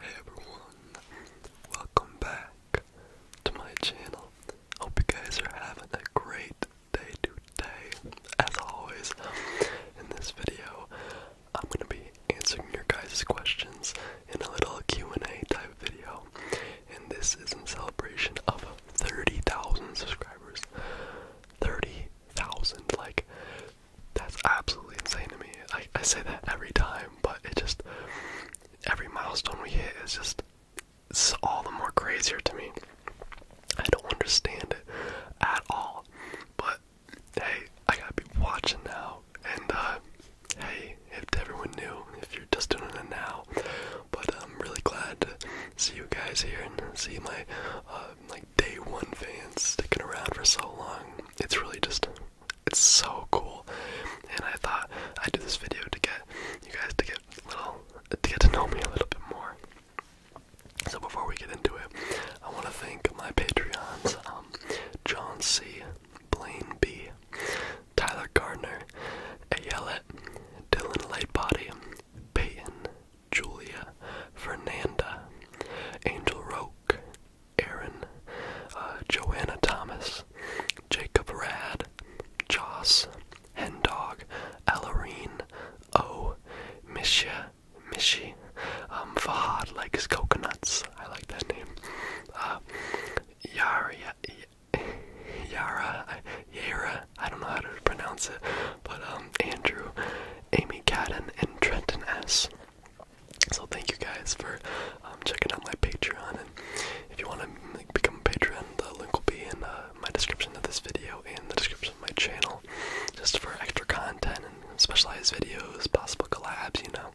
Hey everyone, welcome back to my channel. Hope you guys are having a great day today. As always, in this video, I'm gonna be answering your guys' questions in a little Q&A type video. And this is in celebration of 30,000 subscribers. 30,000, like that's absolutely insane to me. I, I say that every time, but it just every milestone we hit is just all the more crazier to me. I don't understand it at all. But hey, I gotta be watching now. And uh, hey, if everyone knew, if you're just doing it now. But I'm really glad to see you guys here and see my like uh, day one fans sticking around for so long. It's really just it's so cool. And I thought I'd do this video to get you guys to get little to get to know me a little bit more. So before we get into it, I want to thank my Patreons, um, John C, Blaine B, Tyler Gardner, Ayelet, Dylan Lightbody, Peyton, Julia, Fernanda, Angel Roke, Aaron, uh, Joanna Thomas, Jacob Rad, Joss, Hendog, Ellerine, O, Misha, Mishi, um, Fahad likes coconuts. I like that name. Uh, Yara, Yara, Yara, I don't know how to pronounce it, but um, Andrew, Amy Cadden, and Trenton S. So thank you guys for um, checking out my Patreon, and if you want to like, become a patron, the link will be in uh, my description of this video and the description of my channel, just for extra content and specialized videos, possible collabs, you know,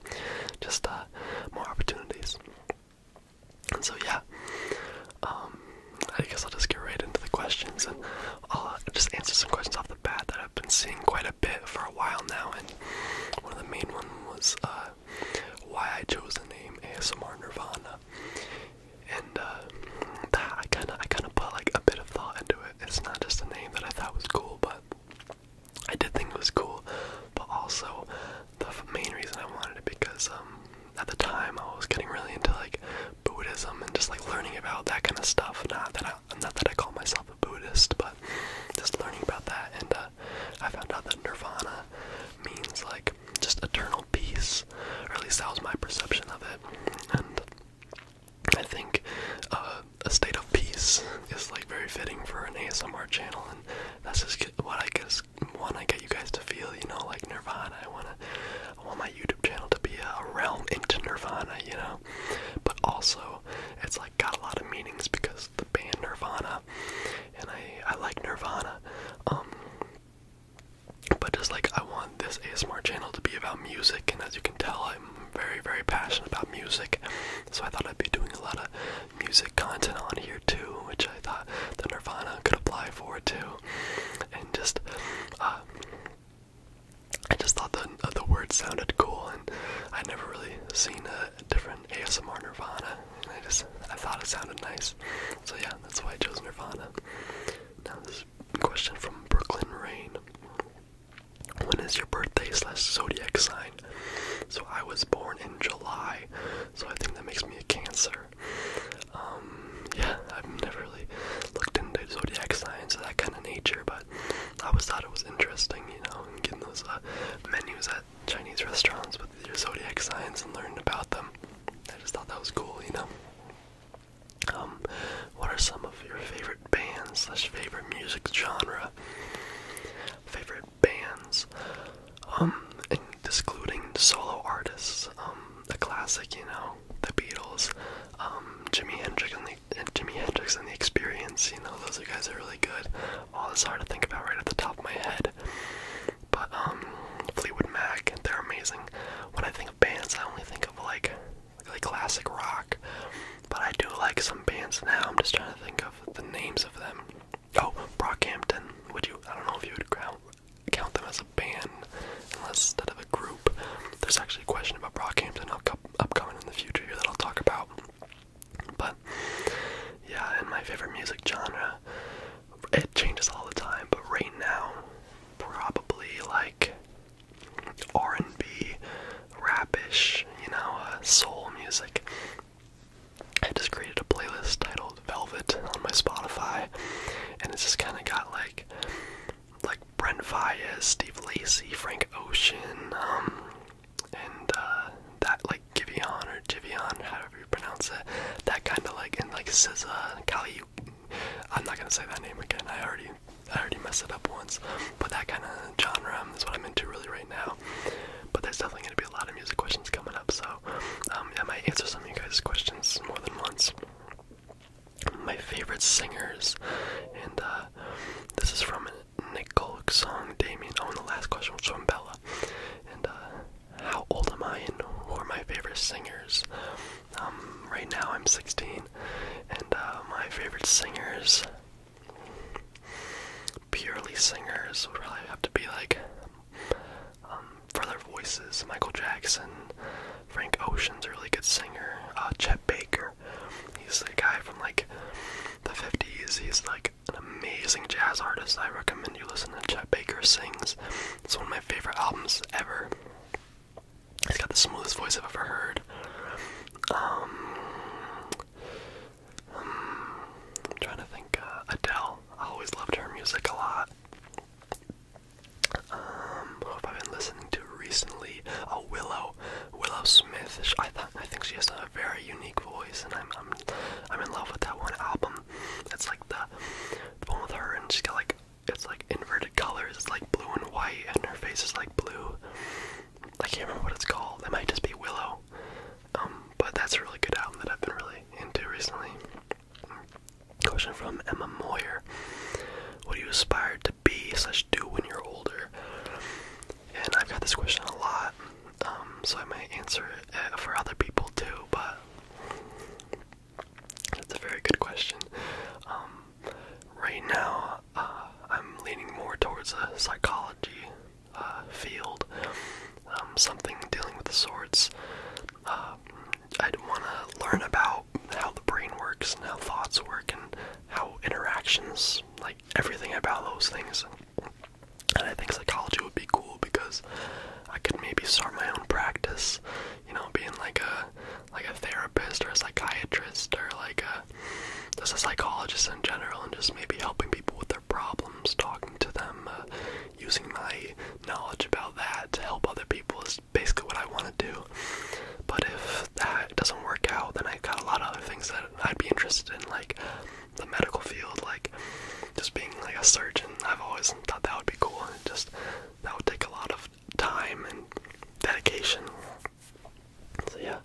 just uh, more opportunities. And so yeah, um, I guess I'll just get right into the questions, and I'll just answer some questions off the bat that I've been seeing quite a bit for a while now, and one of the main ones was uh, why I chose the name ASMR Nirvana. And uh, that I kind of I kind of put like a bit of thought into it. It's not just a name that I thought was cool, but I did think it was cool. But also, the main reason I wanted it because um, at the time I was getting really into like Buddhism and just like learning about that kind of stuff. Not that I, not that I call myself a Buddhist, but just learning about that, and uh, I found out that nirvana means like just eternal peace, or at least that was my perception of it. And I think uh, a state of peace is like very fitting for an ASMR channel, and that's just what I guess want to get you guys to feel. You know, like nirvana. I wanna, I want my YouTube channel to be a realm into nirvana. You know, but also it's like like got a lot of meanings because the band Nirvana, and I I like Nirvana, um, but just like I want this ASMR channel to be about music, and as you can tell, I'm very very passionate about music, so I thought I'd be doing a lot of music content on here too, which I thought the Nirvana could apply for too, and just uh, I just thought the uh, the word sounded cool, I'd never really seen a different ASMR Nirvana, I just I thought it sounded nice. So yeah, that's why I chose Nirvana. Now this question from Brooklyn Rain. When is your birthday slash zodiac sign? So I was born in July, so I think that makes me a Cancer. Um, yeah, I've never really looked into zodiac signs of that kind of nature, but I always thought it was interesting, you know, and getting those uh, menus at Chinese restaurants with your zodiac signs and learning about them. I just thought that was cool, you know. Um, what are some of your favorite bands slash favorite music genre? Favorite bands, um, and excluding solo artists, um, the classic, you know, the Beatles, um, Jimi Hendrix and and Jimi Hendrix and the Experience. You know, those are guys are really good. All this hard to think about right at the top of my head. But um, Fleetwood Mac, they're amazing. When I think of bands, I only think of like like classic rock. But I do like some bands now. I'm just trying to think of the names of them. Oh, Brockhampton. Would you? I don't know if you would count count them as a band, unless instead of a group. There's actually a question about Brockhampton upcoming in the future here that I'll talk about. But yeah, in my favorite music genre, it changes all the time. But right now, probably like R&B, rapish, you know, uh, soul music. I just created a playlist titled Velvet on my Spotify, and it's just kind of got like like Brent Fayez, Steve Lacy, Frank Ocean, um, and uh, that like Giveon or Givian, however you pronounce it, that kind of like and like SZA, Kali. I'm not gonna say that name again. I already, I already messed it up once. But that kind of genre is what I'm into really right now. But there's definitely gonna be a lot of music questions coming up, so um, I might answer some of you guys' questions more than once. My favorite singers, and uh, this is from an Nicole Song Damien. Oh, and the last question was from Bella. And uh, how old am I and who are my favorite singers? Um, right now I'm 16, and uh, my favorite singers, purely singers, would probably have to be like, um, for their voices, Michael Jackson, Frank Ocean's a really good singer, uh, Chet Baker. He's a guy from like the 50s. He's like an amazing jazz artist. I recommend you listen to Chet Baker Sings. It's one of my favorite albums ever. He's got the smoothest voice I've ever heard. Um, I'm trying to think. Uh, Adele. I always loved her music a lot. Um, who have I been listening to recently? A oh, Willow. Willow, Smith. I think she has a very unique voice, and I'm in love with that one album. It's like the, the one with her, and she's got like it's like inverted colors. It's like blue and white, and her face is like blue. I can't remember what it's called. It might just be Willow. Um, but that's a really good album that I've been really into recently. Question from Emma Moyer. What are you aspire to be slash do when you're older? And I've got this question a lot, um, so I might answer it eh, for other people too. But that's a very good question. Um, right now, uh, I'm leaning more towards a psychology uh, field, um, something dealing with the sorts. Uh, I'd want to learn about how the brain works and how thoughts work and how interactions, like like everything about those things. And I think psychology would be cool because I could maybe start my own practice, you know, being like a like a therapist or a psychiatrist or like a just a psychologist in general, and just maybe helping people with their problems, talking to them, uh, using my knowledge about that to help other people is basically what I want to do. But if that doesn't work out, then I have got a lot of other things that I'd be interested in, like the medical field, like just being like a surgeon. I've always thought that would be cool, and just that would take a lot of time and dedication. So yeah.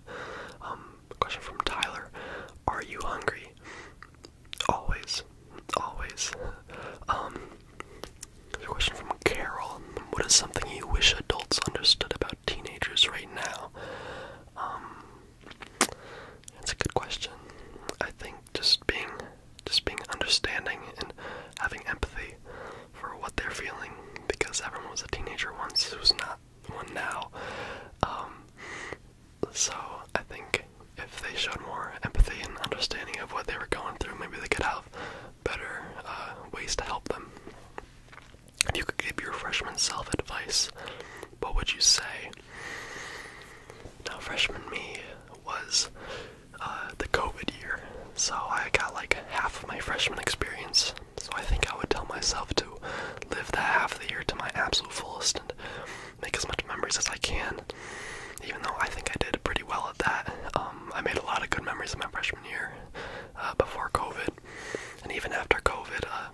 Um, question from Tyler: Are you hungry? Always, always. Um, question from Carol: What is something you wish adults understood about teenagers Right right now? Um, a good question. I think just being, just being understanding and having empathy for what they're feeling, because everyone was a teenager once who's not one now. Um, so I think if they showed more empathy and understanding of what they were going through, maybe they could have better uh, ways to help them. If you could give your freshman self advice, what would you say? Now, freshman me was uh, the COVID year, so I got like half of my freshman experience. So I think I would tell myself to live that half of the year to my absolute fullest and make as much memories as I can. Even though I think I did pretty well at that, um, I made a lot of good memories in my freshman year uh, before COVID and even after COVID, uh,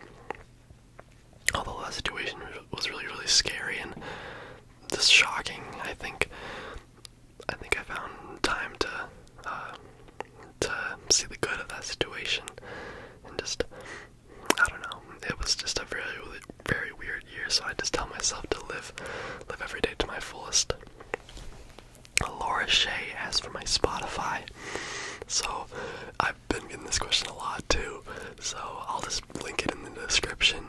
although that situation was really really scary and just shocking, I think I think I found time to uh, to see the good of that situation and just I don't know. It was just a very very weird year, so I just tell myself to live live every day to my fullest. Laura Shay. asked for my Spotify. So I've been getting this question a lot too. So I'll just link it in the description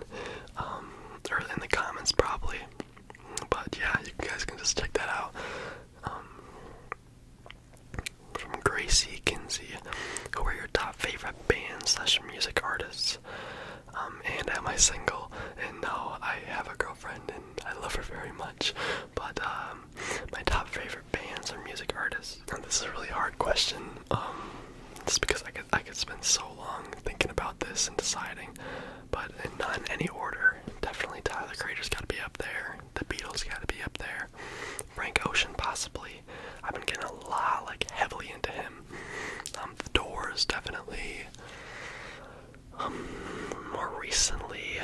um, or in the comments probably. But yeah, you guys can just check that out. Um, from Gracie Kinsey, who are your top favorite bands slash music artists? Um, and am I single? And now I have a girlfriend, and I love her very much. But um, my top favorite bands or music artists. this is a really hard question. Um, just because I could I could spend so long thinking about this and deciding, but in not any order. Definitely Tyler the Creator's got to be up there. The Beatles got to be up there. Frank Ocean possibly. I've been getting a lot like heavily into him. Um, the Doors definitely. Um, more recently,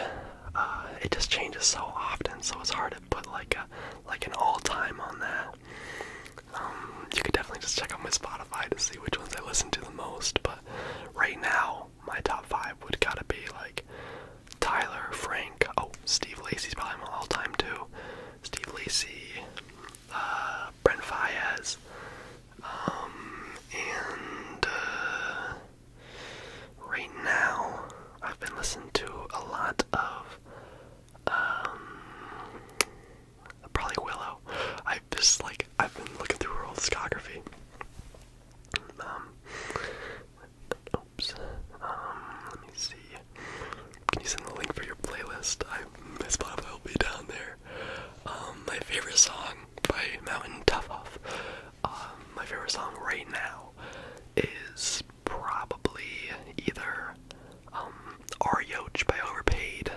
uh, it just changes so often, so it's hard to put like a like an all time on that. Um, you could definitely just check out my Spotify to see which ones I listen to the most. But right now, my top five would gotta be like Tyler, Frank. Oh, Steve Lacy's probably my all time too. Steve Lacy, uh, Brent Fayez, um, and. Uh, Right now, I've been listening to a lot of, um, probably Willow. I've just like I've been looking through her old discography. Um, oops. Um, let me see. Can you send the link for your playlist? I my Spotify will be down there. my favorite song by Melvin Tough um, my favorite song right now is probably either um, R. Yoach by Overpaid,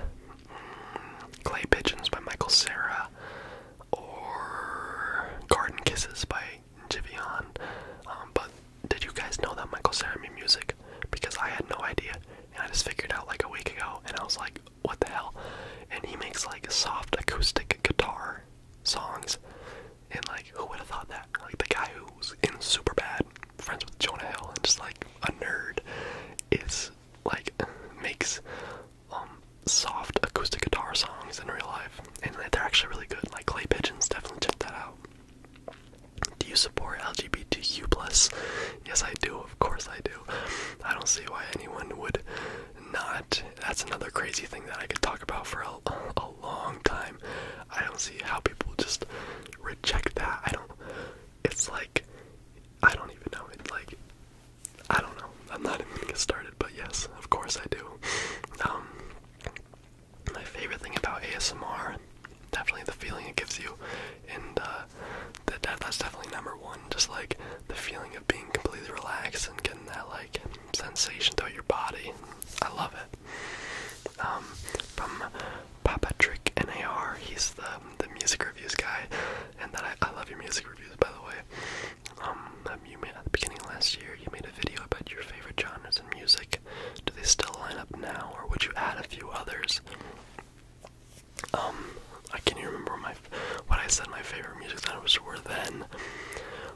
mm, Clay Pigeons by Michael Sarah, or Garden Kisses by Jivion. Um, but did you guys know that Michael Sarah made music? Because I had no idea, and I just figured out like a week ago, and I was like, what the hell? And he makes like a soft acoustic guitar songs. And like, who would have thought that? Like the guy who was in Superbad, friends with Jonah Hill, and just like a nerd, is like makes um soft acoustic guitar songs in real life, and they're actually really good. Like Clay Pigeons, definitely check that out. Do you support LGBTQ plus? Yes, I do. Of course, I do. I don't see why anyone would not that's another crazy thing that I could talk about for a, a long time. I don't see how people just reject that. I don't it's like I don't even know. It's like I don't know. I'm not even gonna get started, but yes, of course I do. Um my favorite thing about ASMR, definitely the feeling it gives you, and uh, that that's definitely number one. Just like the feeling of being completely relaxed and getting that like sensation throughout your body. I love it. Um, from Papatrick NAR, he's the the music reviews guy, and that I, love your music reviews by the way. Um, um you made at the beginning last year, you made a video about your favorite genres in music. Do they still line up now, or would you add a few others? Um, I can't remember what my what I said my favorite music that was were then.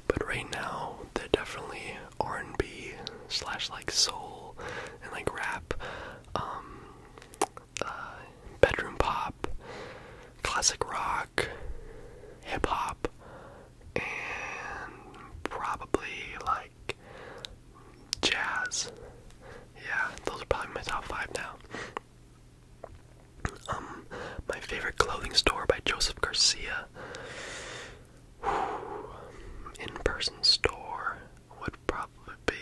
But right now, they're definitely R and B slash like soul and like rap, um, uh, bedroom pop, classic rock, hip hop, and probably like jazz. Yeah, those are probably my top five now. Um, my favorite clothing store by Joseph Garcia. In-person store would probably be.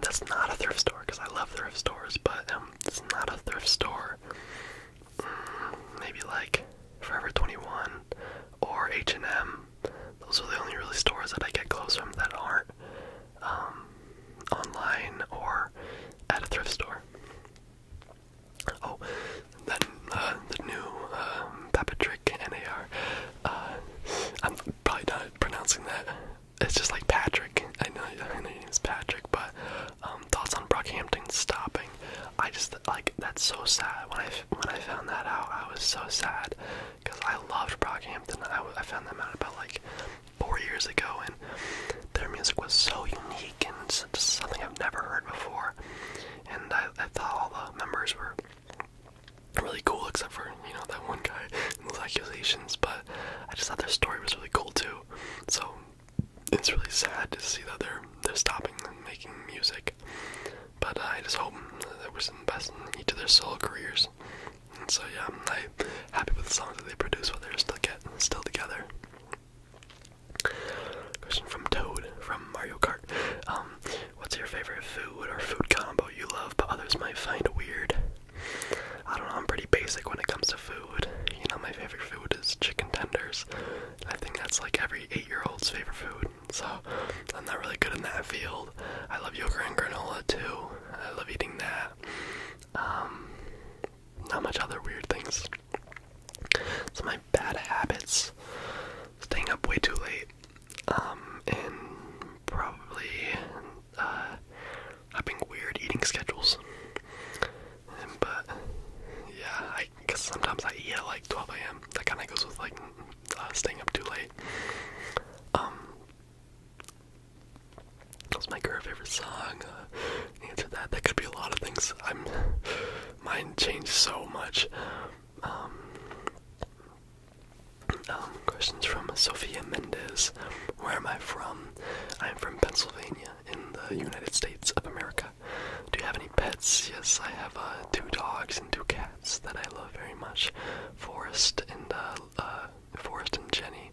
That's not a thrift store because I love thrift stores, but um, it's not a thrift store. Mm, maybe like Forever 21 or H&M. Those are the only really stores that I get clothes from that aren't um, online or at a thrift store. Oh, then uh, the new um, Papatrick NAR. Uh, I'm probably not pronouncing that. It's just like Patrick. I know, I know your name's Patrick, but um, thoughts on Brockhampton stopping? I just like that's so sad. When I when I found that out, I was so sad because I loved Brockhampton. I, I found them out about like four years ago, and their music was so unique and just something I've never heard before. And I, thought all the members were really cool, except for you know that one guy and those accusations. But I just thought their story was really cool too. So it's really sad to see that they're they're stopping making music. But uh, I just hope that we're some best in to their solo careers. So yeah, I'm like, happy with the songs that they produce while they're still get still together. Question from Toad from Mario Kart. Um, what's your favorite food or food combo you love but others might find weird? I don't know, I'm pretty basic when it comes to food. You know, my favorite food is chicken tenders. I think that's like every eight year old's favorite food. So I'm not really good in that field. I love yogurt and granola too. I love eating that. Um, not much other weird things. So my bad habits, staying up way too late, um, and probably uh, having weird eating schedules. but yeah, I because sometimes I eat at like 12 a.m. That kind of goes with like uh, staying up too late. Um, that's my current favorite song. Uh, answer that. That could be a lot of things. I'm. Mine changed so much. Um, um questions from Sophia Mendez. Where am I from? I am from Pennsylvania in the United States of America. Do you have any pets? Yes, I have uh, two dogs and two cats that I love very much. Forest and uh, uh Forrest and Jenny.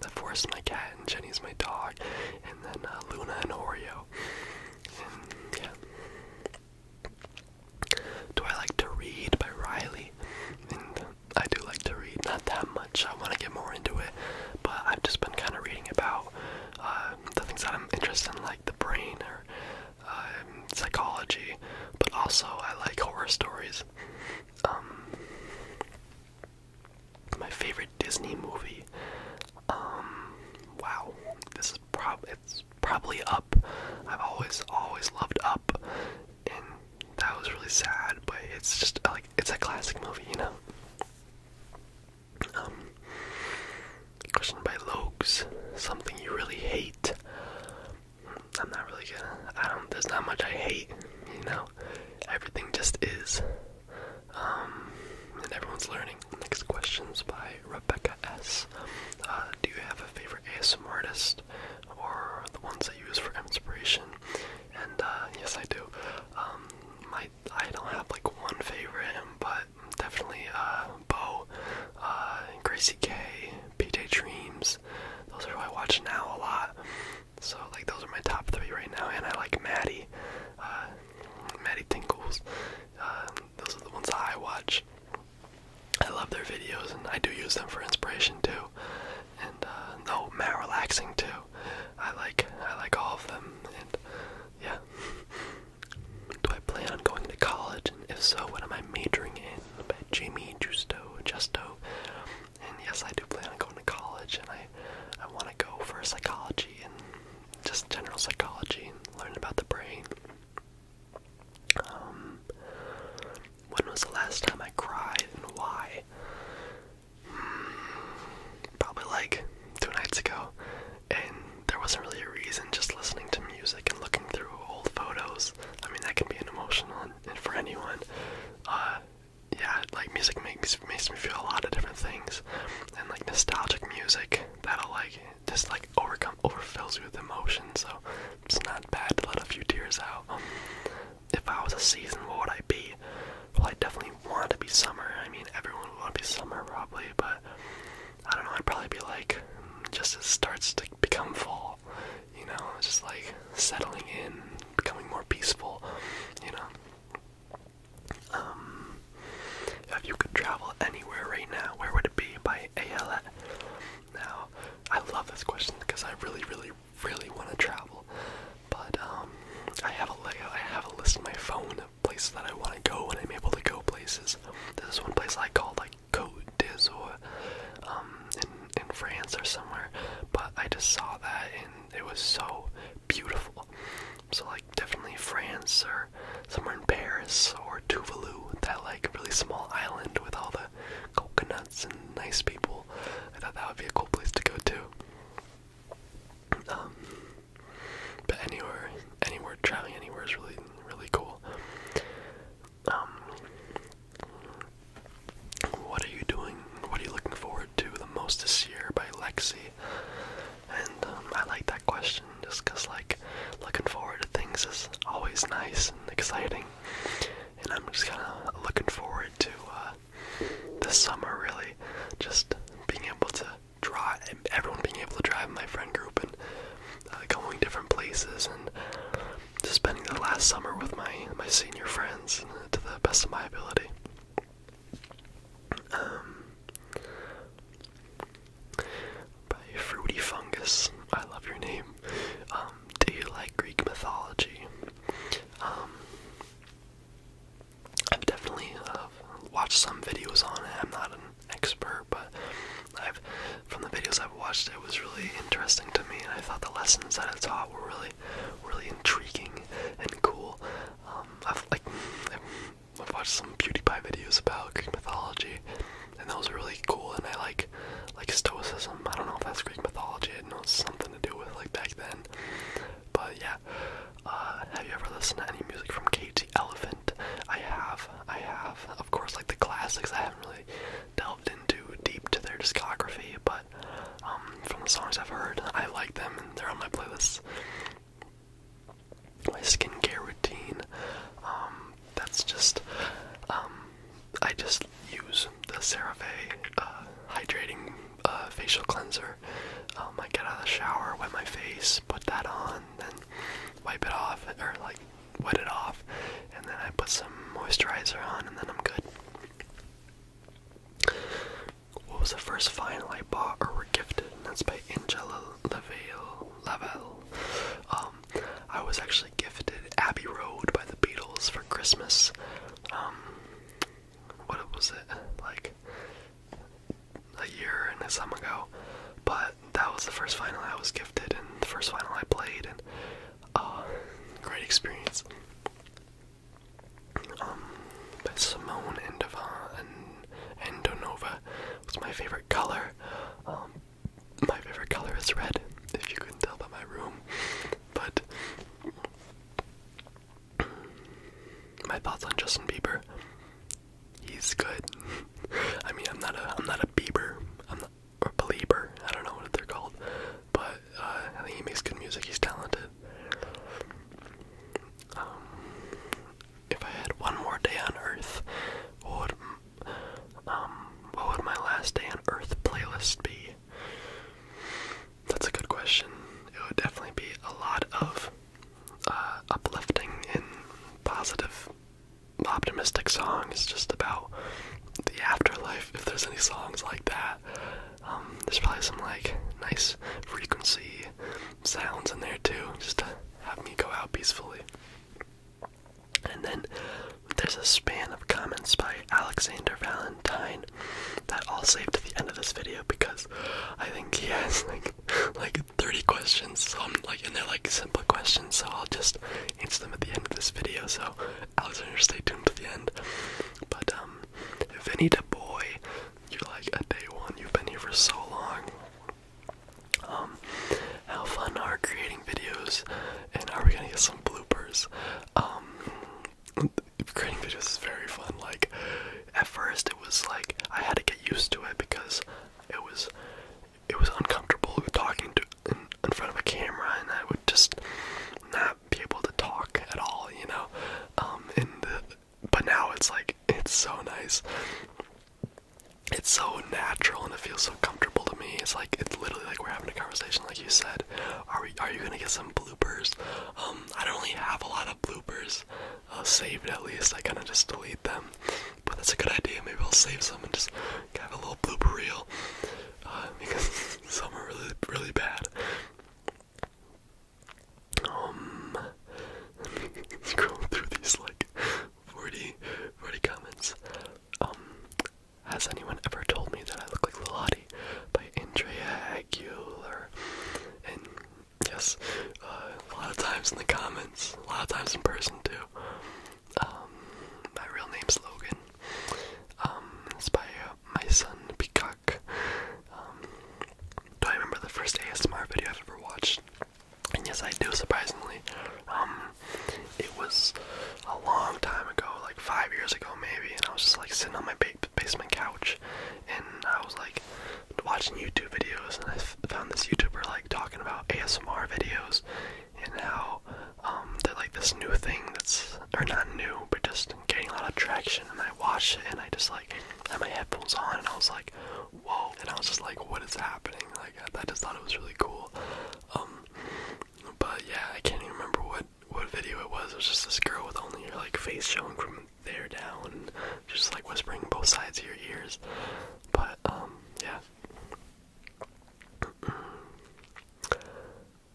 The Forrest is my cat, and Jenny's my dog, and then uh, Luna and Oreo. yeah. Do I like to read by Riley? And I do like to read, not that much. I want to get more into it, but I've just been kind of reading about uh, the things that I'm interested in, like the brain or um, psychology, but also I like horror stories. Um, my favorite Disney movie. Um, wow, this is prob it's probably Up. I've always always loved Up, and that was really sad, but it's just like it's a classic movie, you know. Um, question by Logs. Something you really hate. I'm not really gonna. I don't. There's not much I hate. You know, Everything just is. Um, and everyone's learning. Next question's by Rebecca S. Uh, do you have a favorite ASMR artist or the ones I use for inspiration? And uh, yes, I do. Um, my I don't have like one favorite, but definitely uh, Bo, Gracie K, PJ Dreams. Those are who I watch now a lot. So like those are my top three right now, and I like Maddie, uh, Maddie Tinkles. Uh, those are the ones I watch. I love their videos, and I do use them for inspiration too. And uh, no, Matt relaxing too. I like I like all of them, and yeah. do I plan on going to college? if so, what am I majoring in? Jamie Justo, Justo. And yes, I do plan on going to college, and I, I want to go for psychology and just general psychology and learn about the brain. Um, when was the last time I cried and why? Hmm, probably like two nights ago, and there wasn't really a reason. Just listening to music and looking through old photos. I mean, that can be an emotional for anyone. Uh, yeah, like music makes makes me feel a lot of different things, and like nostalgic music that'll like just like overcome overfills you with emotion. So it's not bad to let a few tears out. If I was a season, what would I be? Well, I definitely want to be summer. I mean, everyone would want to be summer probably, but I don't know. I'd probably be like just as starts to become fall. You know, just like settling in, becoming more peaceful, you know. Um, if you could travel anywhere right now, where would it be? By ALA. Now, I love this question because I really, really, really want to travel, but um, I have a layout, I have a list in my phone of places that I want to go when I'm able to go places. There's one place I call like Côte d'Azur, um, in in France or somewhere, but I just saw that in it was so beautiful. So like definitely France or somewhere in Paris or Tuvalu, that like really small island with all the coconuts and nice people. I thought that would be a cool place to go to. Um, but anywhere, anywhere traveling anywhere is really, really cool. Um, what are you doing? What are you looking forward to the most this year by Lexi? And um, I like that question just because, like, looking forward to things is always nice and exciting. And I'm just kind of looking forward to uh, this summer, really, just being able to drive, everyone being able to drive my friend group and uh, going different places and just spending the last summer with my, my senior friends to the best of my ability. Um, by Fruity Fungus, I love your name. Um, do you like Greek mythology? Um, I've definitely uh, watched some videos on it. I'm not an expert, but I've from the videos I've watched, it was really interesting to me, and I thought the lessons that it taught were really really, intriguing and cool. Um, I've like I've, I've watched some PewDiePie videos about Greek mythology, and that was really cool. And I like like Stoicism. I don't know if that's Greek mythology. I know something to do with like back then. But yeah, uh, have you ever listened to any music from Cage the Elephant? I have. I have. Of course, like the classics. I haven't really delved into deep to their discography, but um, from the songs I've heard, I like them they're on my playlists. My skincare routine, um, that's just, um, I just use the CeraVe uh, hydrating uh, facial cleanser. Um, I get out of the shower, wet my face, put that on, then wipe it off, or like wet it off, and then I put some moisturizer on, and then I'm good. What was the first final I bought or were gifted? that's by Angela Lavelle. Um, I was actually gifted Abbey Road by the Beatles for Christmas. Um, what was it? Like a year and a summer ago. But that was the first final I was gifted and the first final I played and uh, great experience. Um, Simone and and Donova was my favorite color. Um, my favorite color is red, if you could tell by my room. But my thoughts on Justin Bieber. He's good. I mean, I'm not a I'm not a Bieber. I'm not or belieber. I don't know what they're called. But uh, I think he makes good music. He's talented. Um, if I had one more day on Earth, um, what would my last day on Earth playlist be? That's a good question. It would definitely be a lot of uh, uplifting and positive, optimistic songs just about the afterlife. If there's any songs like that. Um, there's probably some like nice frequency sounds in there too, just to have me go out peacefully. And then there's a span of comments by Alexander Valentine that I'll save to the end of this video because I think he has like like 30 questions, so I'm like and they're like simple questions, so I'll just answer them at the end of this video. So Alexander, stay tuned to the end. But um, Vinny the boy, you're like a day one. You've been here for so long. Um, how fun are creating videos, and are we gonna get some bloopers? Um, creating videos is very fun. Like at first, it was like I had to get used to it because it was it was uncomfortable talking to in, in front of a camera, and I would just not be able to talk at all, you know. Um, and but now it's like it's so nice. It's so natural and it feels so comfortable to me. It's like it's literally like we're having a conversation, like you said. Are we? Are you gonna get some bloopers? Um, I don't really have a lot of bloopers uh, saved. At least I kind of just delete them. But that's a good idea. Maybe I'll save some and just have a little blooper reel. because some are really, really bad. Um, through these like 40, comments. Um, has anyone ever told me that I look like Lilati by Andrea Aguilar? And yes, uh, a lot of times in the comments, a lot of times in person too. Um, my real name's Logan. Um, it's by uh, my son Peacock. Um, do I remember the first ASMR video I've ever watched? yes, I do. Surprisingly, um, it was a long time ago, like five years ago maybe. And I was just like sitting on my basement couch, and I was like watching YouTube videos, and I found this YouTuber like talking about ASMR videos and how um, they're like this new thing that's, or not new, but just getting a lot of traction. And I watched it and I just like had my headphones on and I was like, whoa. And I was just like, what is happening? Like, I, just thought it was really cool. Um, but yeah, I can't even remember what, what video it was. It was just this girl with only her like face showing from there down, just like whispering both sides of your ears. But, um, yeah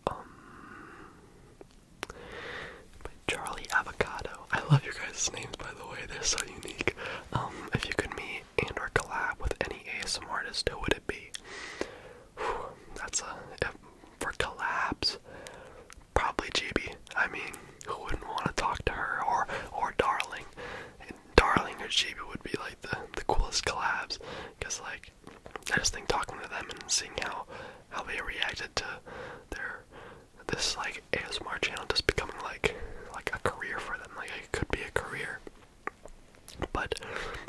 um, Charlie Avocado. I love your guys' names, by the way. They're so unique. Um, if you could meet and or collab with any ASMR artist, who would it be? that's a if, for collabs. Probably GB. I mean, who wouldn't want to talk to her or or Darling? Darling or GB would be like the the coolest collabs, cause like I just think talking to them and seeing how how they reacted to their this like ASMR channel just becoming like like a career for them. Like it could be a career. But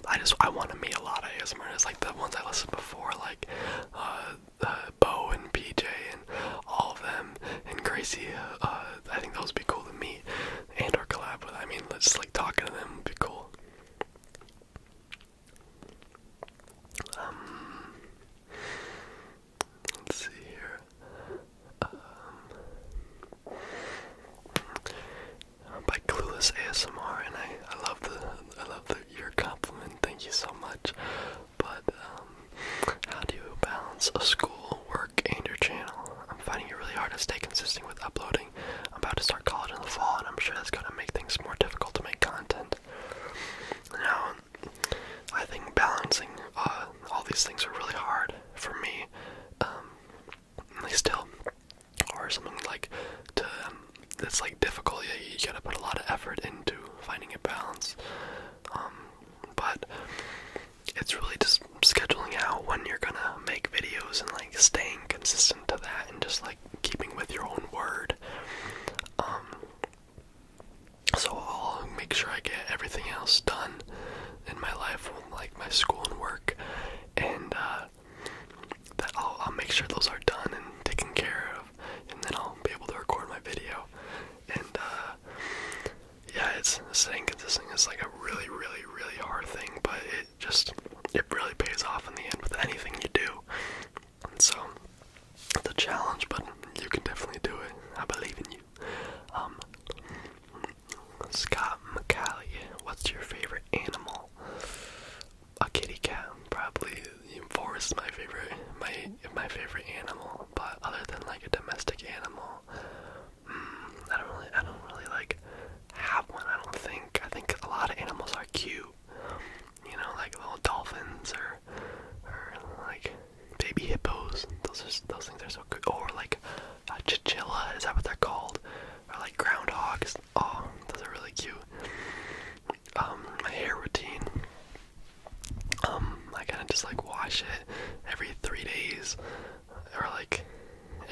I just I want to meet a lot of ASMRs like the ones I listened before, like uh, uh, Bo and PJ and all of them and Gracie. Uh, I think those would be cool to meet and or collab with. I mean, just like talking to them would be cool. Um, let's see here. Um, by Clueless ASMR, and I, I love the I love your compliment. Thank you so much. But um, how do you balance a school, work, and your channel? I'm finding it really hard to stay consistent with uploading. I'm about to start college in the fall, and I'm sure that's going to make things more difficult to make content. Now, I think balancing uh, all these things are really hard for me. Um, like still, or something like to um, that's like difficult. Yeah, you gotta put a lot of effort into finding a balance. Um, but it's really just scheduling out when you're gonna make videos and like staying consistent to that and just like keeping with your own word. Um, so I'll make sure I get everything else done in my life, like my school and work, and uh, that I'll, make sure those are done and taken care of, and then I'll be able to record my video. And uh, yeah, it's staying consistent is like a really, really, really hard thing, but it just it really pays off in the end with anything you do. so it's a challenge, but you can definitely do it. I believe in you. Um, Scott McCallie, what's your favorite animal? A kitty cat, probably. Forest is my favorite, my my favorite animal. But other than like a domestic animal, hmm, I don't really, I don't really like have one. I don't think. I think a lot of animals are cute, you know, like little dolphins or or like baby hippos. Those are those things are so cute. Or like a chinchilla. Is that what they're called? Or like groundhogs. Oh, those are really cute. Um, my hair routine. Um, I kind of just like wash it every three days, or like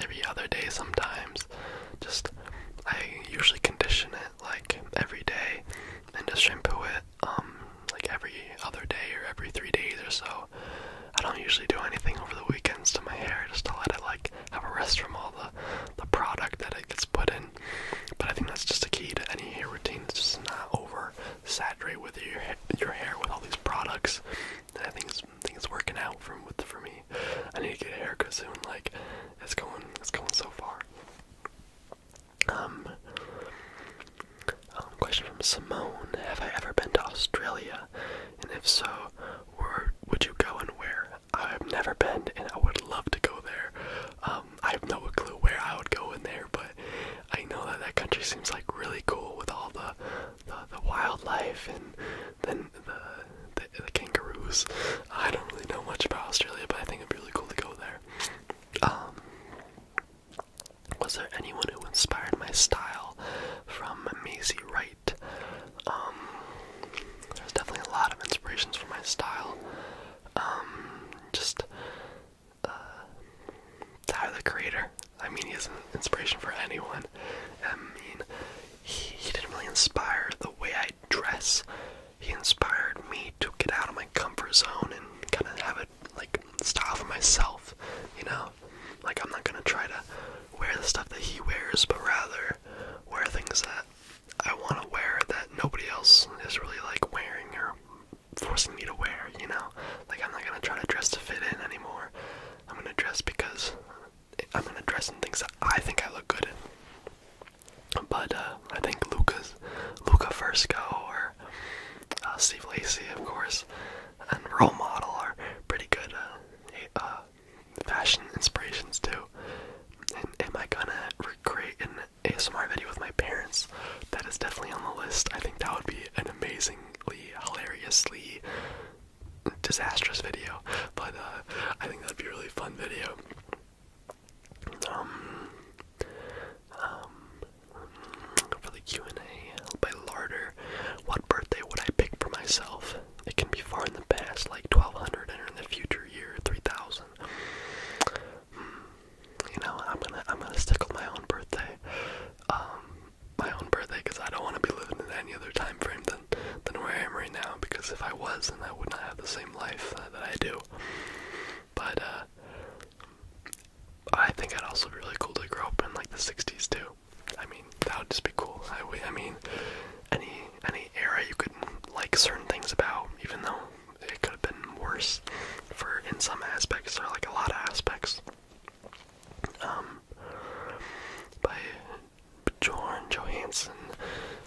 every other day sometimes it's just I usually condition it like every day and just shampoo it um like every other day or every three days or so. I don't usually do anything over the weekends to my hair just to let it like have a rest from all the the product that it gets put in. But I think that's just the key to any hair routine. It's just not over saturate with your your hair with all these products. And I think it's I think it's working out for for me. I need to get a haircut soon. Like, it's going, it's going so far. Um, um, question from Simone: Have I ever been to Australia? And if so, where would you go and where? I've never been, and I would love to go there. Um, I have no clue where I would go in there, but I know that that country seems like really cool with all the, the wildlife and then the the, kangaroos. I don't really know much about Australia, but I think it'd be really cool to go there. Um, was there anyone who inspired my style from Maisie Wright? Um, there's definitely a lot of inspirations for my style. Um, just uh, Tyler the Creator. I mean, he is an inspiration for anyone. I mean, he, didn't really inspire the way I dress. He inspired me to get out of my comfort zone and kind of have a like style for myself, you know. Like I'm not gonna try to wear the stuff that he wears, but rather wear things that I want to wear that nobody else is really like wearing or forcing me to wear, you know. Like I'm not gonna try to dress to fit in anymore. I'm gonna dress because I'm gonna dress in things that I think I look good in. But uh, I think Lucas, Luca Fusco or uh, Steve Lacey, of course, and Role Model are pretty good uh, fashion inspirations too. And am I gonna recreate an ASMR video with my parents? That is definitely on the list. I think that would be an amazingly, hilariously disastrous video, but uh, I think that'd be a really fun video. Um, um, for the Q and A by Larder, what birthday would I pick for myself? It can be far in the past, like 1200, and in the future year 3000. Hmm, you know, I'm gonna I'm gonna stick with my own birthday, um, my own birthday, because I don't want to be living in any other time frame than than where I am right now because if I was, then I would not have the same life uh, that I do. But uh, I think I'd also be really cool to grow up in like the '60s too. I mean, that would just be cool. I, I mean, any any era you could like certain things about, even though it could have been worse for in some aspects or like a lot of aspects. Um, but Bjorn Johansson,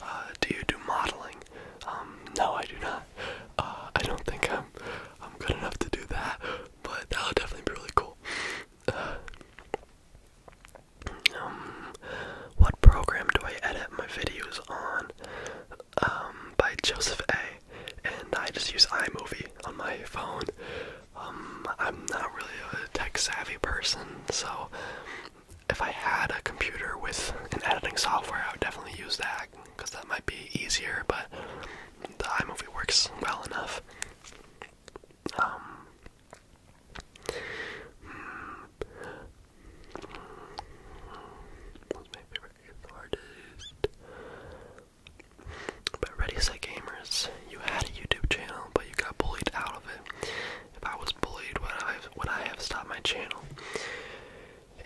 uh, do you do modeling? Um, no, I do not. Uh, I don't think I'm I'm good enough to do that, but that would definitely be really cool. Uh, um, what program do I edit my videos on? Um, by Joseph A. And I just use iMovie on my phone. I'm not really a tech savvy person, so if I had a computer with an editing software, I would definitely use that because that might be easier. But the iMovie works well enough. Um, hmm, my favorite artist? But Ready Set Gamers, you had a YouTube channel, but you got bullied out of it if I was bullied, would I would I have stopped my channel?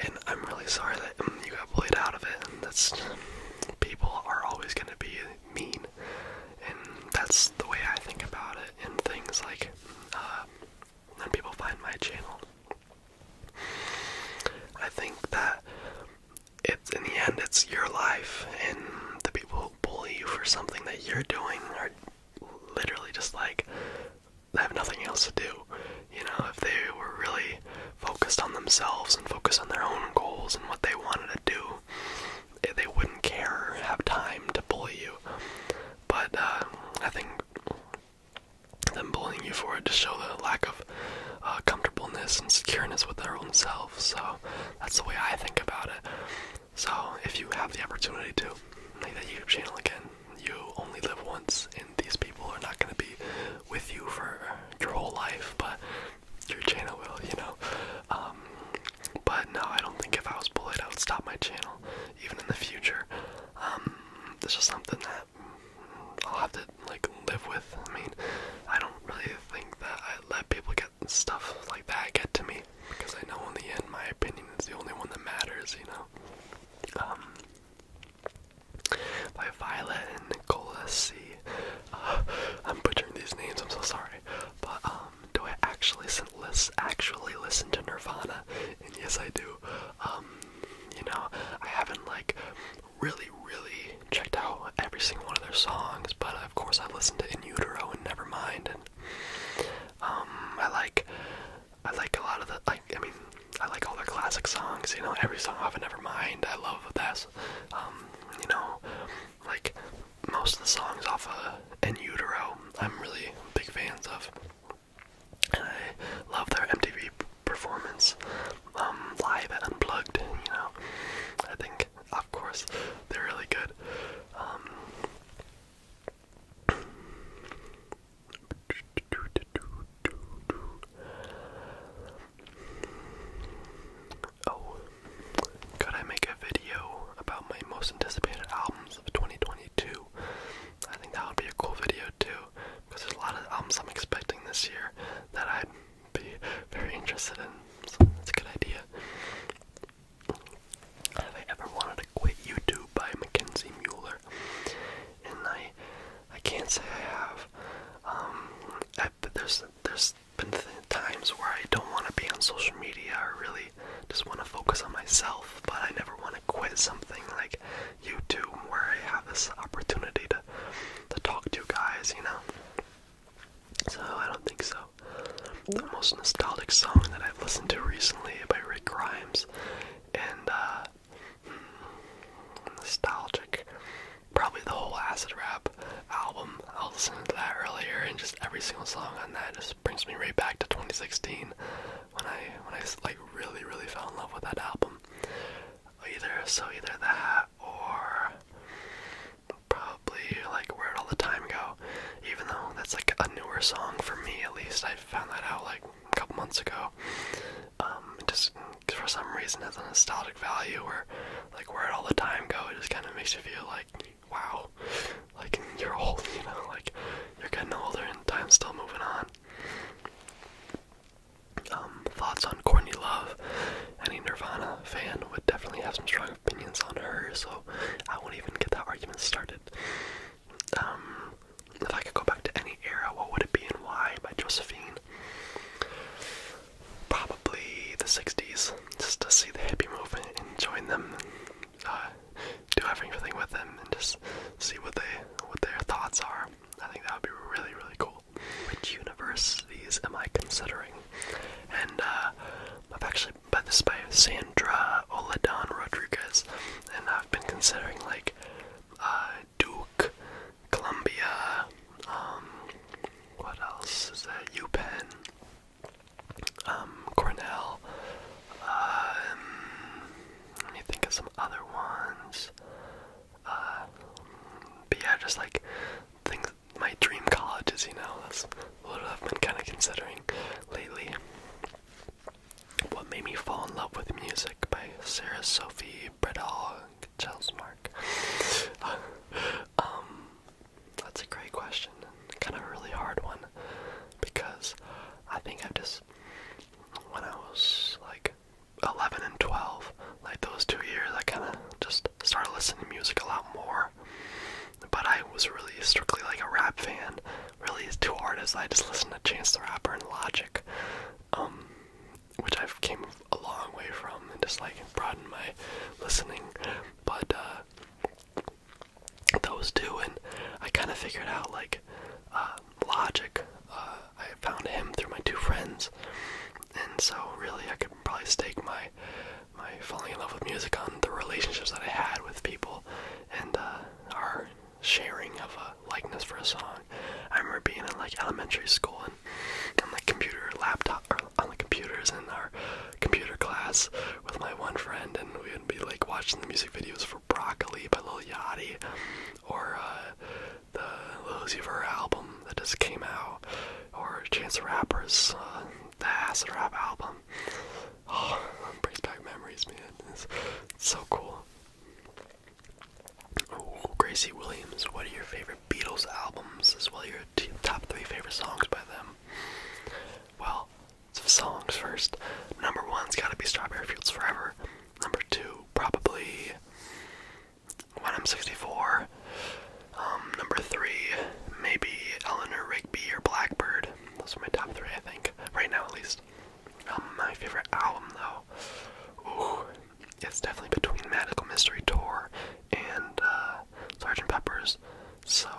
And I'm really sorry that mm, you got bullied out of it. And that's people are always gonna be mean, and that's the way I think about it. And things like uh, when people find my channel, I think that it's in the end it's your life, and the people who bully you for something that you're doing are literally just like they have nothing else to do. You know, if they were really focused on themselves and focused on their own goals and what they wanted to do, eh, they wouldn't care have time to bully you. But uh, I think them bullying you for it just show the lack of uh, comfortableness and secureness with their own self. So that's the way I think about it. So, if you have the opportunity to make that YouTube channel again, you only live once, and these people are not going to be with you for your whole life, but your channel will, you know. Um, but no, I don't think if I was bullied, I would stop my channel, even in the future. Um, this is something that I'll have to like live with. I mean, I don't really think that I let people get stuff like that get to me because I know in the end my opinion is the only one that matters, you know. Um, by Violet and Nicola C. am uh, butchering these names. I'm so sorry, but um, do I actually listen, actually listen to Nirvana? yes, I do. Um, you know, I haven't like really, really checked out every single one of their songs, but of course I've listened to In Utero and Nevermind and um, I like, I like a lot of the like. I mean, I like all their classic songs. You know, every song off of Nevermind. I love this. Um, you know, like most of the songs off of In Utero, I'm really big fans of. And I love their MTV performance, um, live and unplugged. You know, I think of course they're really good. Oh, could I make a video about my most anticipated albums of 2022? I think that would be a cool video too, because there's a lot of albums I'm expecting this year that I'd be very interested in. So that's a good idea. Have I ever wanted to quit YouTube by Mackenzie Mueller? And I, I can't say I have. Um, I, there's there's been times where I don't want to be on social media or really just want to focus on myself, but I never want to quit something like YouTube where I have this opportunity to to talk to guys, you know. So I don't think so the most nostalgic song that I've listened to recently by Rick Grimes. And, uh, hmm, nostalgic. Probably the whole Acid Rap album. I was listening to that earlier, and just every single song on that just brings me right back to 2016 when I, when I like really, really fell in love with that album. Either, so either that or probably like where All the Time Go, even though that's like a newer song for me at least. I found that out like a couple months ago. Um, just for some reason has a nostalgic value where like Where'd All the Time Go it just kind of makes you feel like wow, like you're old, you know, like you're getting older and time's still moving on. Um, thoughts on Courtney Love? Any Nirvana fan would definitely have some strong opinions on her, so I won't even get that argument started. Um, if I could go back to any era, what would it be and why? By Josephine. Probably the 60s, just to see the hippie movement and join them uh, do everything with them and just see what they what their thoughts are. I think that would be really, really cool. Which universities am I considering? And uh, I've actually but this is by Sandra Oladon Rodriguez, and I've been considering like uh, Duke, Columbia, um, what else is that? UPenn, um, Cornell. Um, let me think of some other ones. Uh, but yeah, just like things my dream college, colleges, you know, that's what I've been kind of considering lately. What Made Me Fall in Love with Music by Sarah Sophie Bredal Chelsmark. um, that's a great question, and kind of a really hard one, because I think I've just, when I was like 11 and 12, like those two years, I kind of just started listening to music a lot more but I was really strictly like a rap fan. Really, two artists. I just listened to Chance the Rapper and Logic, um, which I've came a long way from and just like broadened my listening. But uh, those two, and I kind of figured out like uh, Logic. Uh, I found him through my two friends, and so really I could probably stake my my falling in love with music and the relationships that I had with people and uh, our sharing of a likeness for a song. I remember being in like elementary school and on like computer laptop or on the computers in our computer class with my one friend and we would be like watching the music videos for Broccoli by Lil Yachty or uh, the Lil Uzi album that just came out or Chance the Rapper's uh, the Acid Rap album brings back memories, man. It's, so cool. Gracie Williams, what are your favorite Beatles albums as well your top three favorite songs by them? Well, songs first. Number one's gotta be Strawberry Fields Forever. Number two, probably When I'm 64. Um, number three, maybe Eleanor Rigby or Blackbird. Those are my top three, I think, right now at least. Um, my favorite album, though, it's definitely between Magical Mystery Tour and uh, Sgt. Pepper's. So,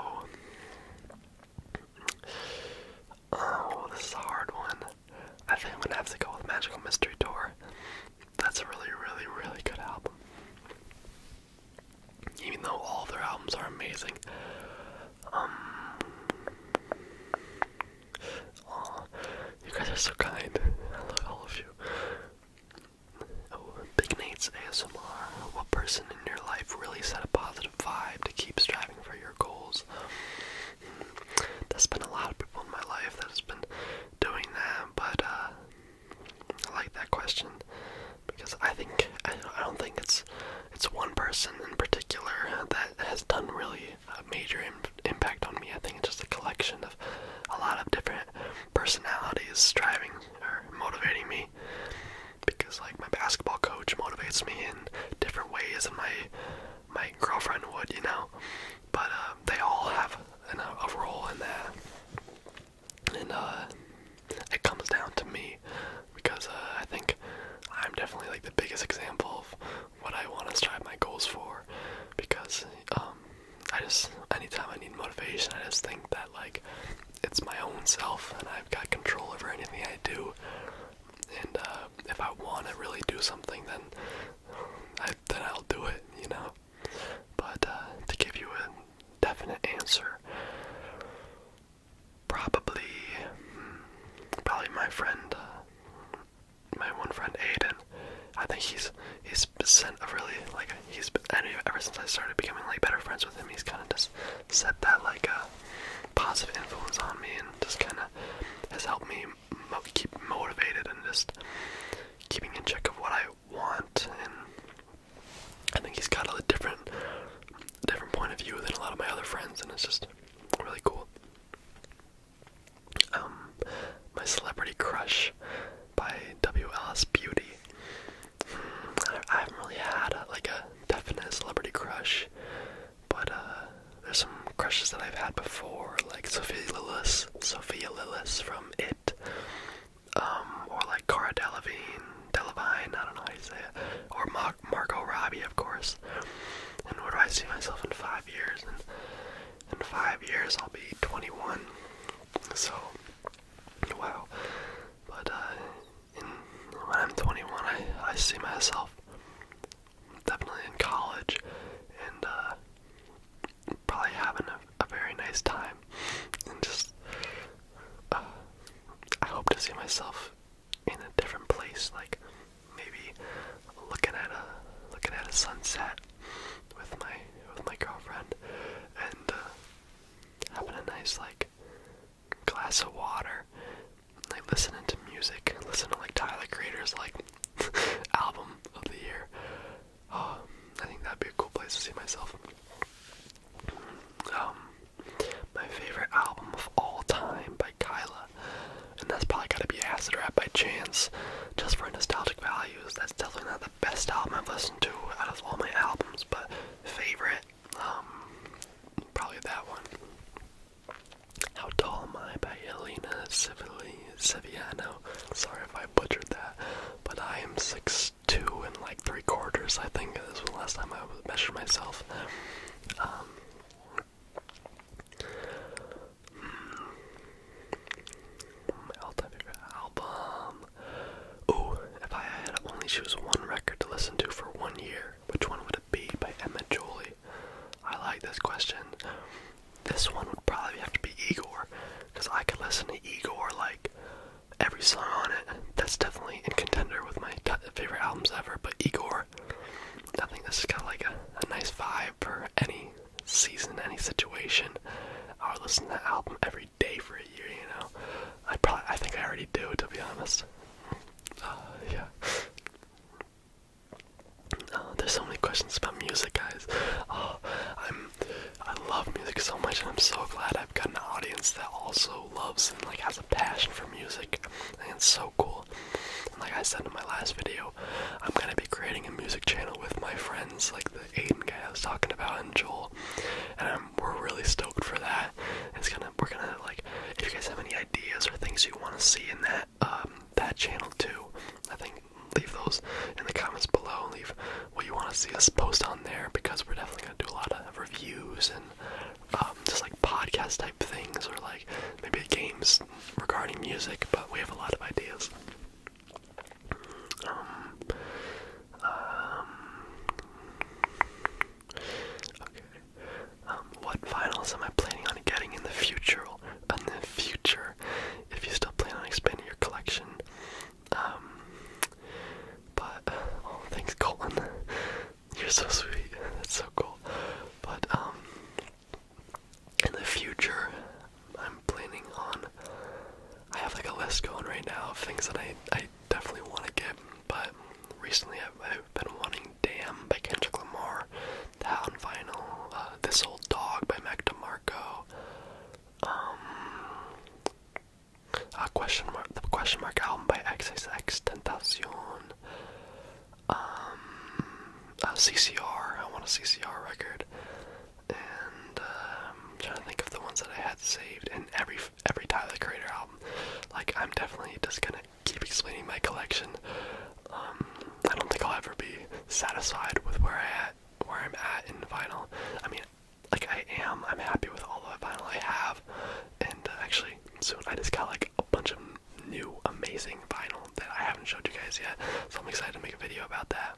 oh, this is a hard one. I think I'm gonna have to go with Magical Mystery Tour. That's a really, really, really good album even though all their albums are amazing. Um, you guys are so kind. I love you. Oh, Big Nate's ASMR. What person in your life really set a positive vibe to keep striving for your goals? There's been a lot of people in my life that has been doing that, but uh, I like that question because I think I don't think it's it's one person in particular that has done really a major impact on me. I think it's just a collection of a lot of different personalities driving or motivating me because like my basketball coach motivates me in different ways and my my girlfriend would, you know. But uh, they all have an, a role in that and uh, it comes down to me because uh, I think I'm definitely like the biggest example of what I want to strive my goals for because um, I just anytime I need motivation, I just think that like it's my own self and I've got control over anything I do. And uh, if I want to really do something, then I, then I'll do it, you know. But uh, to give you an definite answer. Probably, probably my friend, my one friend Aidan. I think he's he's sent a really like he's I mean, ever since I started becoming like better friends with him, he's kind of just set that like a uh, positive influence on me and just kind of has helped me keep motivated and just keeping in check of what I want, and I think he's got a different, different point of view than a lot of my other friends, and it's just really cool. Um, my celebrity crush by WLS Beauty. Hmm, I, haven't really had uh, like a definite celebrity crush, but uh, there's some crushes that I've had before, like Sophia Lillis, Sophia Lillis from It, um, or like Cara Delevingne, Delevingne, I don't know how you say it, or Mar Margot Robbie, of course. And where do I see myself in five years? in five years, I'll be 21. So, wow. But uh, when I'm 21, I, I see myself definitely in college and uh, probably having a, very nice time and just uh, I hope to see myself in a different place, like maybe looking at a looking at a sunset with my with my girlfriend and uh, having a nice like glass of water, like listening to music, listening to like Tyler Creator's like album of the year. Oh, I think that'd be a cool place to see myself um, my favorite album of all time by Kyla, and that's probably gotta be Acid Rap by Chance, just for nostalgic values. That's definitely not the best album I've listened to out of all my albums, but favorite, um, probably that one. How Tall Am I by Elena Civili Sorry if I butchered that, but I am six two and like three quarters. I think this was the last time I measured myself. my um, all-time hmm. favorite album. Ooh, if I had only choose one record to listen to for one year, which one would it be? By Emma Jolie. I like this question. This one would probably have to be Igor, because I could listen to Igor like every song on it. That's definitely in contender with my favorite albums ever. But Igor, I think this has got like a, nice vibe for any season, any situation. I would listen to that album every day for a year. You know, I probably I think I already do to be honest. Uh, yeah. Uh, there's so many questions about music, guys. Uh, I'm I love music so much, and I'm so glad I've got an audience that also loves and like has a passion for music. And it's so cool. And like I said in my last video, I'm gonna be creating a music channel with my friends, like the Aiden guy I was talking about and Joel. And we're really stoked for that. It's gonna we're gonna like if you guys have any ideas or things you wanna see in that um, that channel too, I think leave those in the comments below leave what you want to see us post on there because we're definitely gonna do a lot of reviews and um, just like podcast type things or like maybe games regarding music. But we have a lot of ideas. Um, um, what vinyls am I planning on getting in the future? In the future, if you still plan on expanding your collection, um, but oh, thanks, Colin. You're so sweet. That's so cool. But um, in the future, I'm planning on. I have like a list going right now of things that I I definitely want to get. But recently, I've, been wanting "Damn" by Kendrick Lamar, that on vinyl. Uh, this old dog by Mac DeMarco. Um, uh, question mark the question mark album by XXX Tentacion. Um, uh, CCR. I want a CCR record, and uh, I'm trying to think of the ones that I had saved. And every every Tyler Creator album. Like I'm definitely just gonna keep explaining my collection. Um, I don't think I'll ever be satisfied with where I at where I'm at in vinyl. I mean, like I am. I'm happy with all the vinyl I have, and uh, actually soon I just got like a bunch of new amazing vinyl that I haven't showed you guys yet. So I'm excited to make a video about that.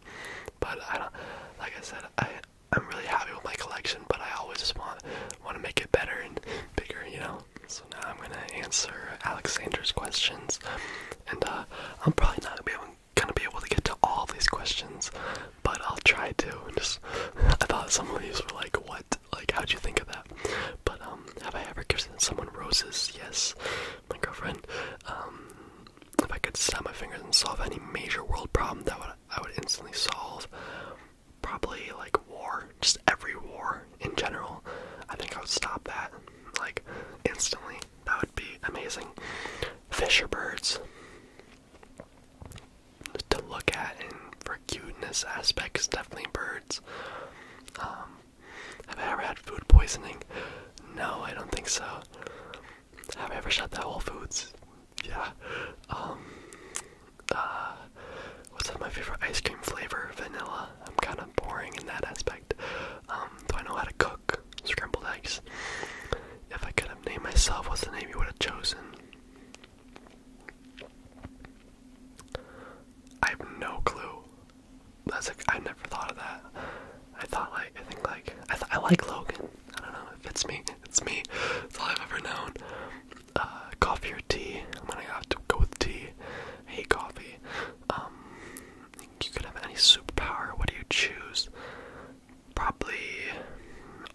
But I don't, like I said, I I'm really happy with my collection, but I always just want want to make it better and bigger, you know. So now I'm gonna answer Alexander's questions, and uh, I'm probably not gonna be able to get to all these questions, but I'll try to. And just, I thought some of these were like, what? Like, how'd you think of that? But um, have I ever given someone roses? Yes, my girlfriend. Um, if I could snap my fingers and solve any major world problem, that would I would instantly solve. Probably like war, just every war in general. I think I would stop that like instantly. That would be amazing. Fish or birds? to look at and for cuteness aspects, definitely birds. Um, have I ever had food poisoning? No, I don't think so. Have I ever shot at Whole Foods? Yeah. Um, uh, what's my favorite ice cream flavor? Vanilla. I'm kind of boring in that aspect. Um, do I know how to cook scrambled eggs? If I could have named myself, what's the name you would have chosen? I have no clue. That's like I never thought of that. I thought like I think like I I like Logan. I don't know if it's me. It's me. It's all I've ever known. Uh, coffee or tea? I'm gonna have to go with tea. I hate coffee. Um, you could have any superpower. What do you choose? probably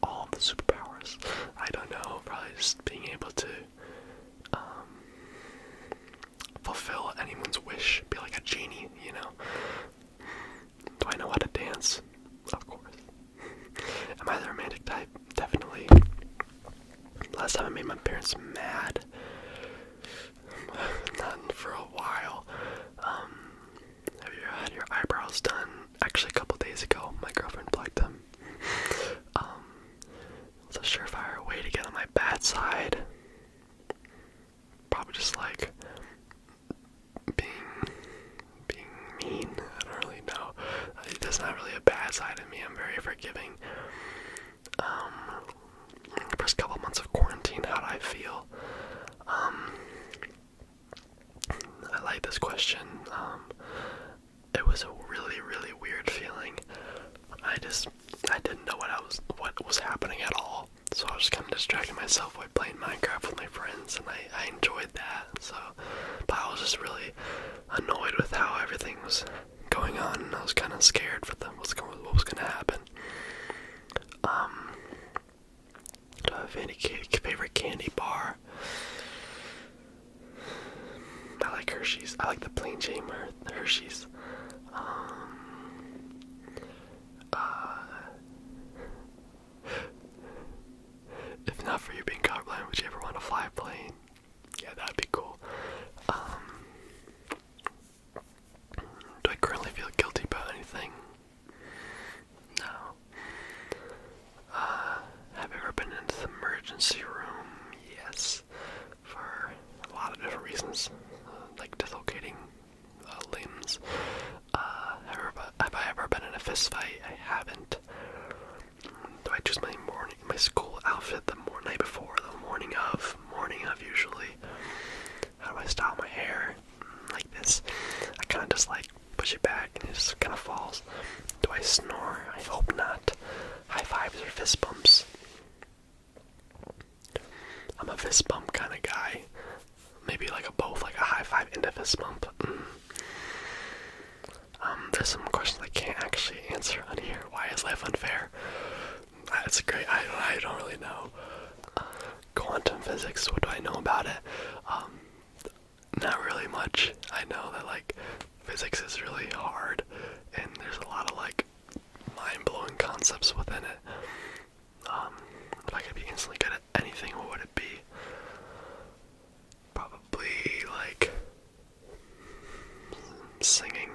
all of the superpowers. I don't know, probably just being able to um, fulfill anyone's wish, be like a genie, you know. Do I know how to dance? Of course. Am I the romantic type? Definitely. Last time I made my parents mad, not for a while. Um, have you had your eyebrows done? Actually, a couple days ago, my girlfriend plugged them. um, it's a surefire way to get on my bad side. Probably just like being being mean. I don't really know. There's not really a bad side of me. I'm very forgiving. Um, first couple months of quarantine, how do I feel? Um, I like this question. Um, it was a really, really weird feeling. I just, I didn't know what I was, what was happening at all. So I was just kind of distracting myself by playing Minecraft with my friends, and I, enjoyed that. So, but I was just really annoyed with how everything was going on, and I was kind of scared for them what's going, what was going to happen. Um, do I have any favorite candy bar? I like Hershey's. I like the plain Jane Hershey's. Um, uh, if not for you being colorblind, would you ever want to fly a plane? Yeah, that'd be cool. Um, do I currently feel guilty about anything? No. Uh, have you ever been in the emergency room? Yes. For a lot of different reasons, uh, like dislocating uh, limbs. Uh, have I ever been in a fist fight? I haven't. Do I choose my morning, my school outfit the morning night before, the morning of, morning of usually? How do I style my hair? like this. I kind of just like push it back and it just kind of falls. Do I snore? I hope not. High fives or fist bumps. I'm a fist bump kind of guy. Maybe like a both, like a high five into a fist bump. Mm. Um, there's some questions I can't actually answer on here. Why is life unfair? That's great. I, I don't really know. quantum physics. What do I know about it? Um, not really much. I know that like physics is really hard and there's a lot of like mind-blowing concepts within it. Um, if I could be instantly good at anything, what would it be? Probably like singing.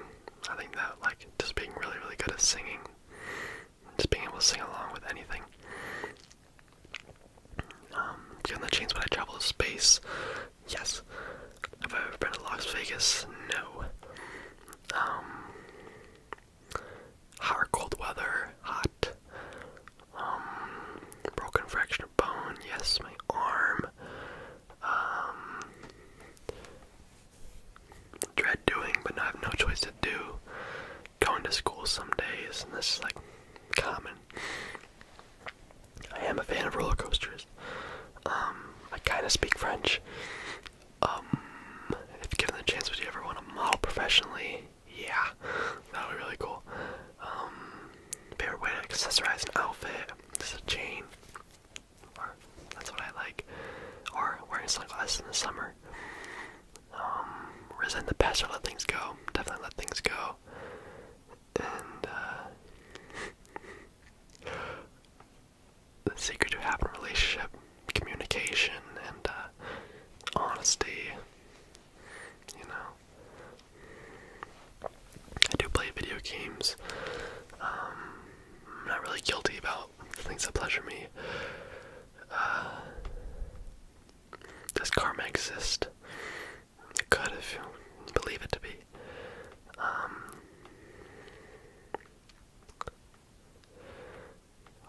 I think that like just being really really good at singing just being able to sing along with anything. Um, on the chains when I travel to space? Yes. Have I ever been to Las Vegas? No. Um, hot cold weather? Hot. Um, broken fracture bone? Yes. My arm. Um, dread doing, but I have no choice do going to school some days, and this is like common. I am a fan of roller coasters. Um, I kind of speak French. Um, if given the chance, would you ever want to model professionally? Yeah, that would be really cool. Um, favorite way to accessorize an outfit is a chain, that's what I like. Or wearing sunglasses in the summer um, resent the past or let things go. Definitely let things go. And uh, the secret to having a relationship, communication, and uh, honesty. You know, I do play video games. Um, I'm not really guilty about things that pleasure me. Uh, does karma exist? It could if you believe it to be. Um,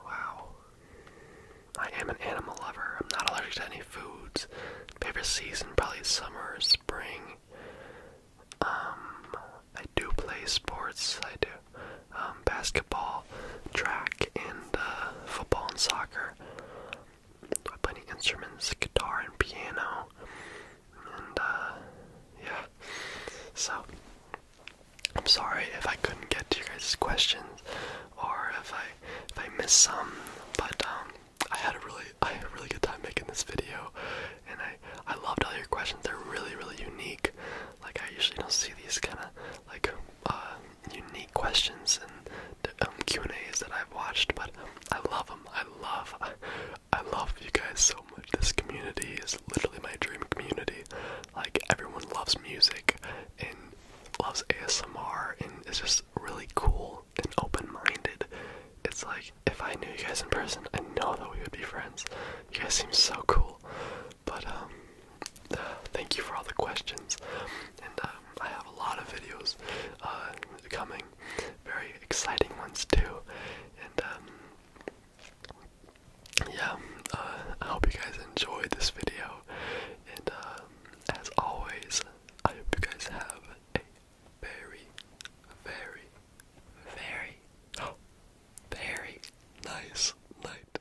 wow. I am an animal lover. I'm not allergic to any foods. Favorite season probably summer or spring. Um, I do play sports. I do. Um, basketball, track, and uh, football and soccer. I play instruments, guitar and piano, and uh, yeah. So I'm sorry if I couldn't get to your guys' questions, or if I if I missed some, but um, I had a really I had a really good time making this video, and I I loved all your questions. They're really really unique. Like I usually don't see these kind of like uh, unique questions and um, Q and A's that I've watched, but I love them. I love, I, love you guys so much. This community is literally my dream community. Like everyone loves music and loves ASMR, and is just really cool and open-minded. It's like if I knew you guys in person, I know that we would be friends. You guys seem so cool, but um. thank you for all the questions, and um, I have a lot of videos uh, coming, very exciting ones too, and um, yeah, uh, I hope you guys enjoyed this video, and uh, as always, I hope you guys have a very, very, very, very nice night.